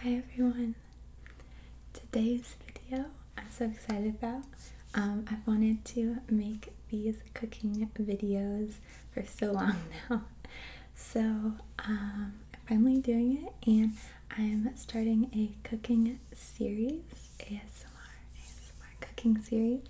Hi everyone! Today's video I'm so excited about. Um, I've wanted to make these cooking videos for so long now. So um, I'm finally doing it and I'm starting a cooking series, ASMR, ASMR cooking series.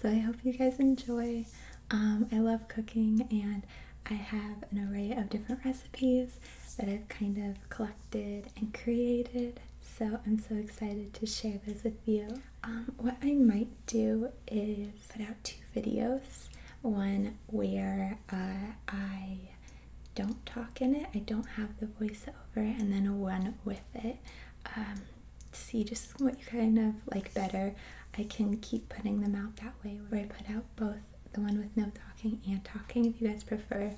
So I hope you guys enjoy. Um, I love cooking and I have an array of different recipes that I've kind of collected and created, so I'm so excited to share those with you. Um, what I might do is put out two videos one where uh, I don't talk in it, I don't have the voiceover, and then one with it. Um, see just what you kind of like better. I can keep putting them out that way where I put out both the one with no talking and talking if you guys prefer.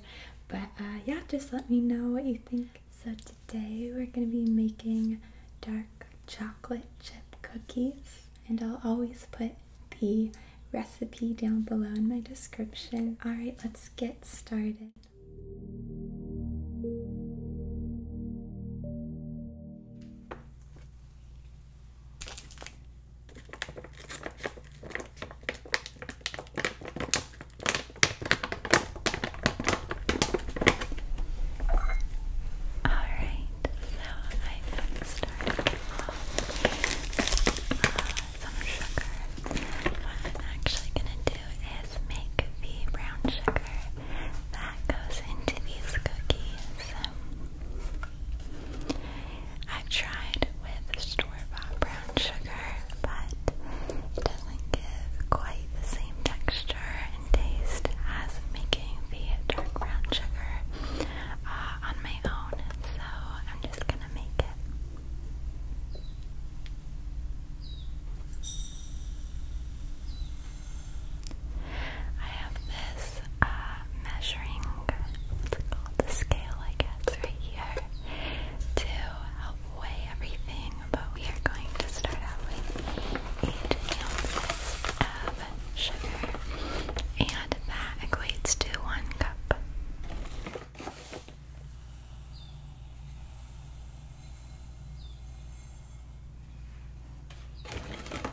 But uh, yeah, just let me know what you think. So today we're going to be making dark chocolate chip cookies. And I'll always put the recipe down below in my description. Alright, let's get started. Alright, so I am starting off uh, some sugar. What I'm actually gonna do is make the brown sugar that goes into these cookies. Um, I've tried with store-bought brown sugar, but it doesn't give quite the same texture and taste as making the dark brown sugar uh, on my own, so I'm just gonna make it. I have this uh, measuring what's The scale, I guess, right here to help weigh everything. But we are going to start out with 8 ounces of sugar, and that equates to 1 cup.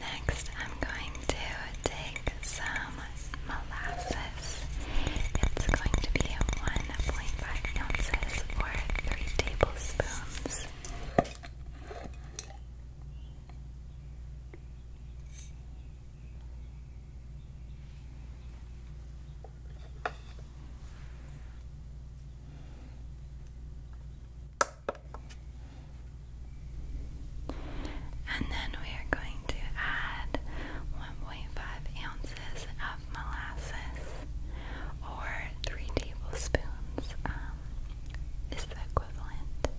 Next, I'm going to take some molasses. It's going to be 1.5 ounces or 3 tablespoons. And then we are going to add 1.5 ounces of molasses or 3 tablespoons um, is the equivalent.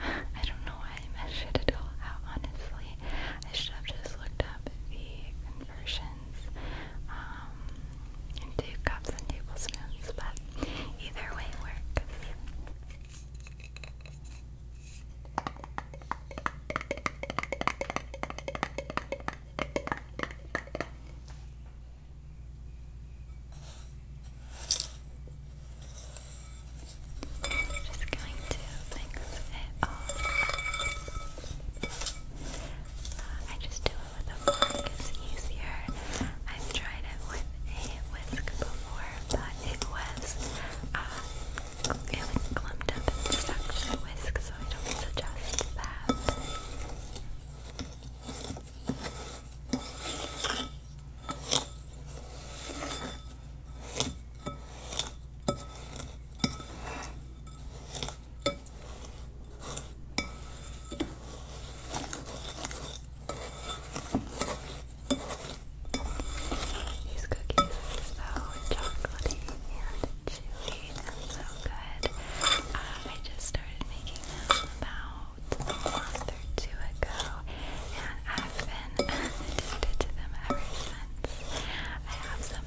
I don't know why I measured it all out, honestly. I should have just looked up the conversions into um, cups and tablespoons, but either way works. Just going to mix it off. Um, uh, I just do it with a fork, it's easier. I've tried it with a whisk before, but it was, uh, it was clumped up and stuck to the whisk, so I don't suggest that. These cookies are so chocolatey and chewy and so good. Um, I just started making them about a month or two ago, and I've been addicted to them ever since. I have some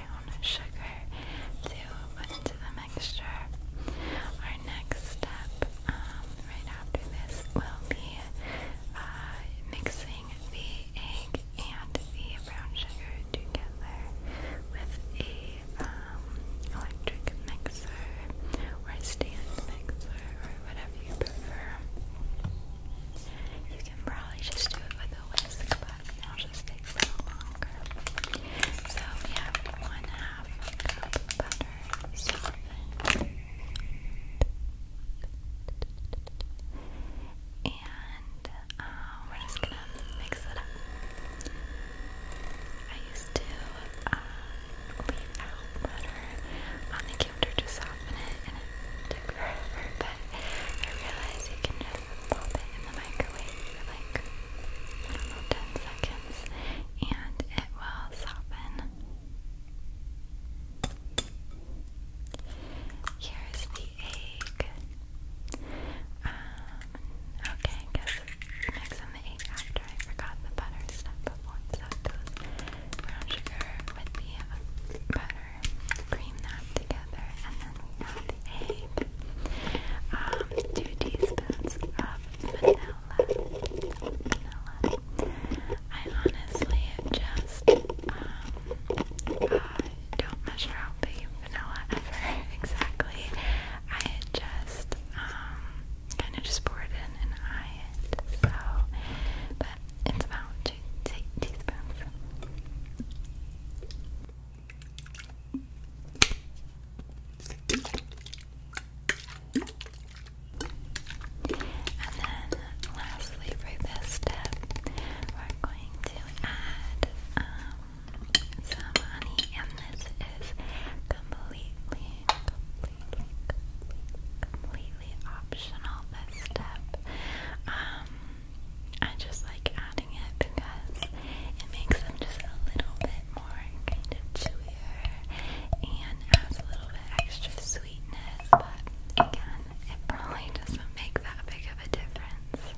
brown sugar into the mixture. Our next step, um, right after this, will be uh, mixing the egg and the brown sugar together with a um, electric mixer or a stand mixer or whatever you prefer. You can probably just do it with a whisk, but now just So we have one half cup butter softened. And uh, we're just gonna mix it up. I used to uh, leave out butter on the counter to soften it, and it took forever. But I realized you can just and then it in the microwave for like, 10 seconds and it will soften. Here's the egg. Um, okay, I mix in the egg after. I forgot the butter stuff so it goes brown sugar with the butter cream that together, and then we add um, two teaspoons of vanilla. I honestly just um, uh, don't measure out the vanilla ever exactly. I just um, kind of just pour it in and I So, but it's about two teaspoons. And then lastly for this step, we're going to add um, some honey and this is completely, completely, completely, completely optional this step. Um, I just like adding it because it makes them just a little bit more kind of chewier and adds a little bit extra sweetness, but again, it probably doesn't make that big of a difference.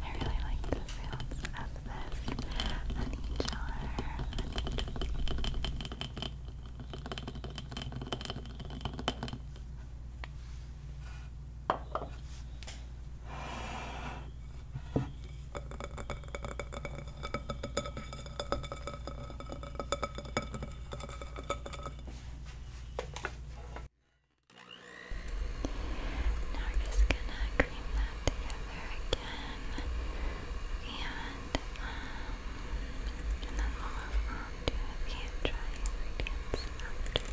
I really like the sounds of this honey jar. Now we're just gonna cream that together again, and um, and then we'll move on to the dry ingredients after this.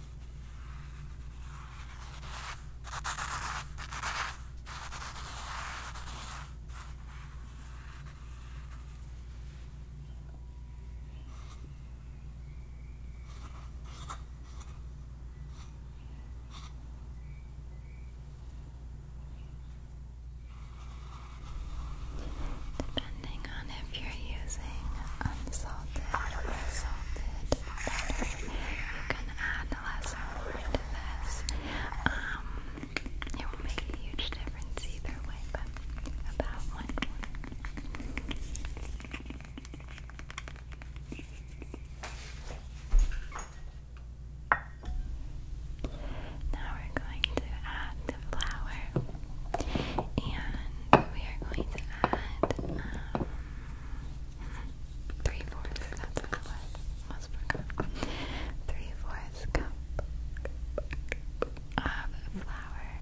Depending on if you're using unsalted or salted butter. You add less or to this. Um, it will make a huge difference either way, but about one now we're going to add the flour and we are going to add um, three fourths. That's what it Three fourths cup of flour.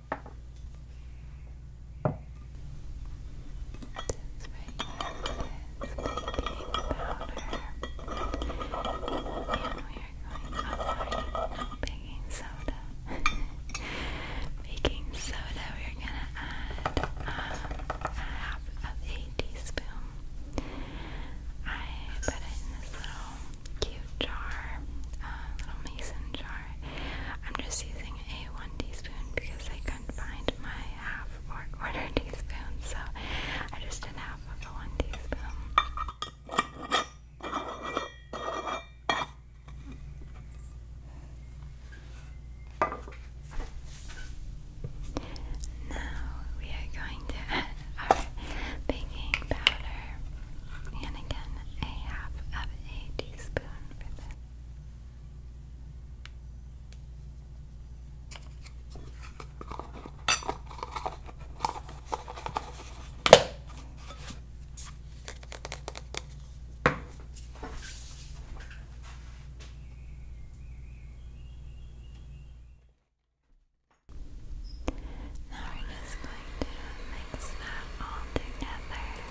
no baking soda. baking soda, we're gonna add um, half of a teaspoon. I put it in this little cute jar, uh, little mason jar. I'm just using a one teaspoon because I couldn't find my half or quarter teaspoon, so I just did half of a one teaspoon. Now we are going to add our baking powder and again a half of a teaspoon for this. Now we're just going to mix that all together.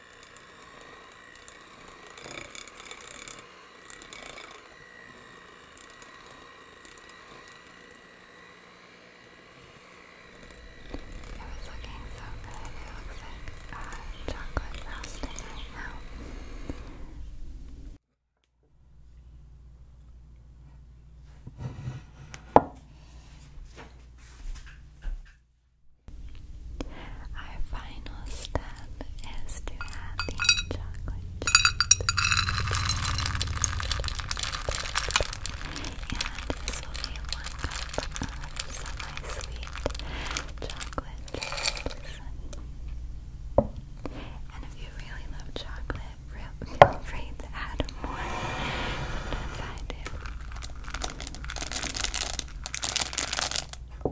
It's looking so good. It looks like uh, chocolate frosting right now. Our final step is to add the chocolate chip. And this will be one cup of semi-sweet chocolate chips. And if you really love chocolate, feel free to add more if I do.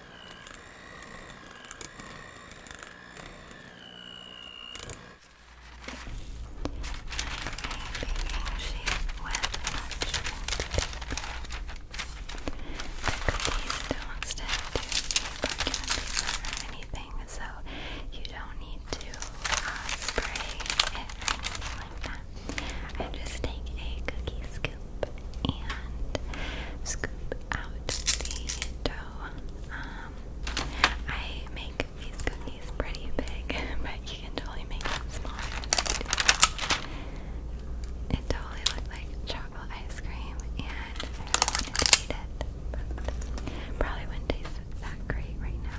cookies don't stick to anything, so you don't need to uh, spray anything like that. I just take a cookie scoop and scoop out the dough. Um, I make these cookies pretty big, but you can totally make them smaller. it totally looked like chocolate ice cream, and I really it, probably wouldn't taste that great right now.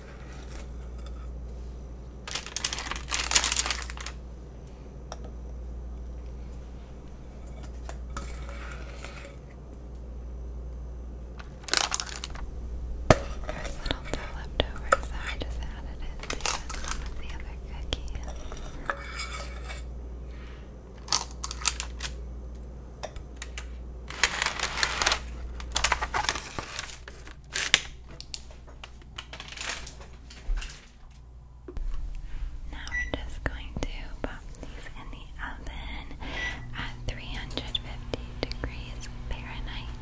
There's a little bit left over, so I just added it to some of the other cookies. Now we're just going to pop these in the oven at 350 degrees Fahrenheit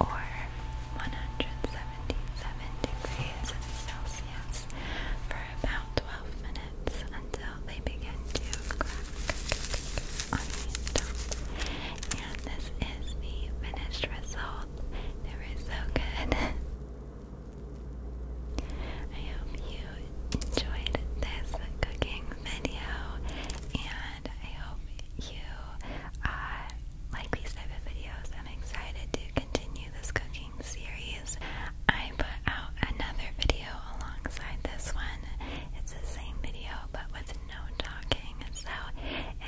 or 177 degrees Celsius for about 12 minutes until they begin to crack on the top this is the finished result. They were so good. I hope you enjoyed this cooking video, and I hope you uh, like these type of videos. I'm excited to continue this cooking series. I put out another video alongside this one. It's the same video, but with no talking. So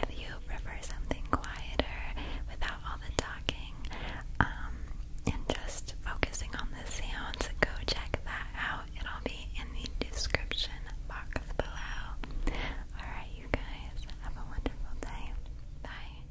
if you prefer something quieter without all the talking um, and just focusing on the sounds, go check that out. It'll be in the description box below. Alright, you guys, have a wonderful day. Bye.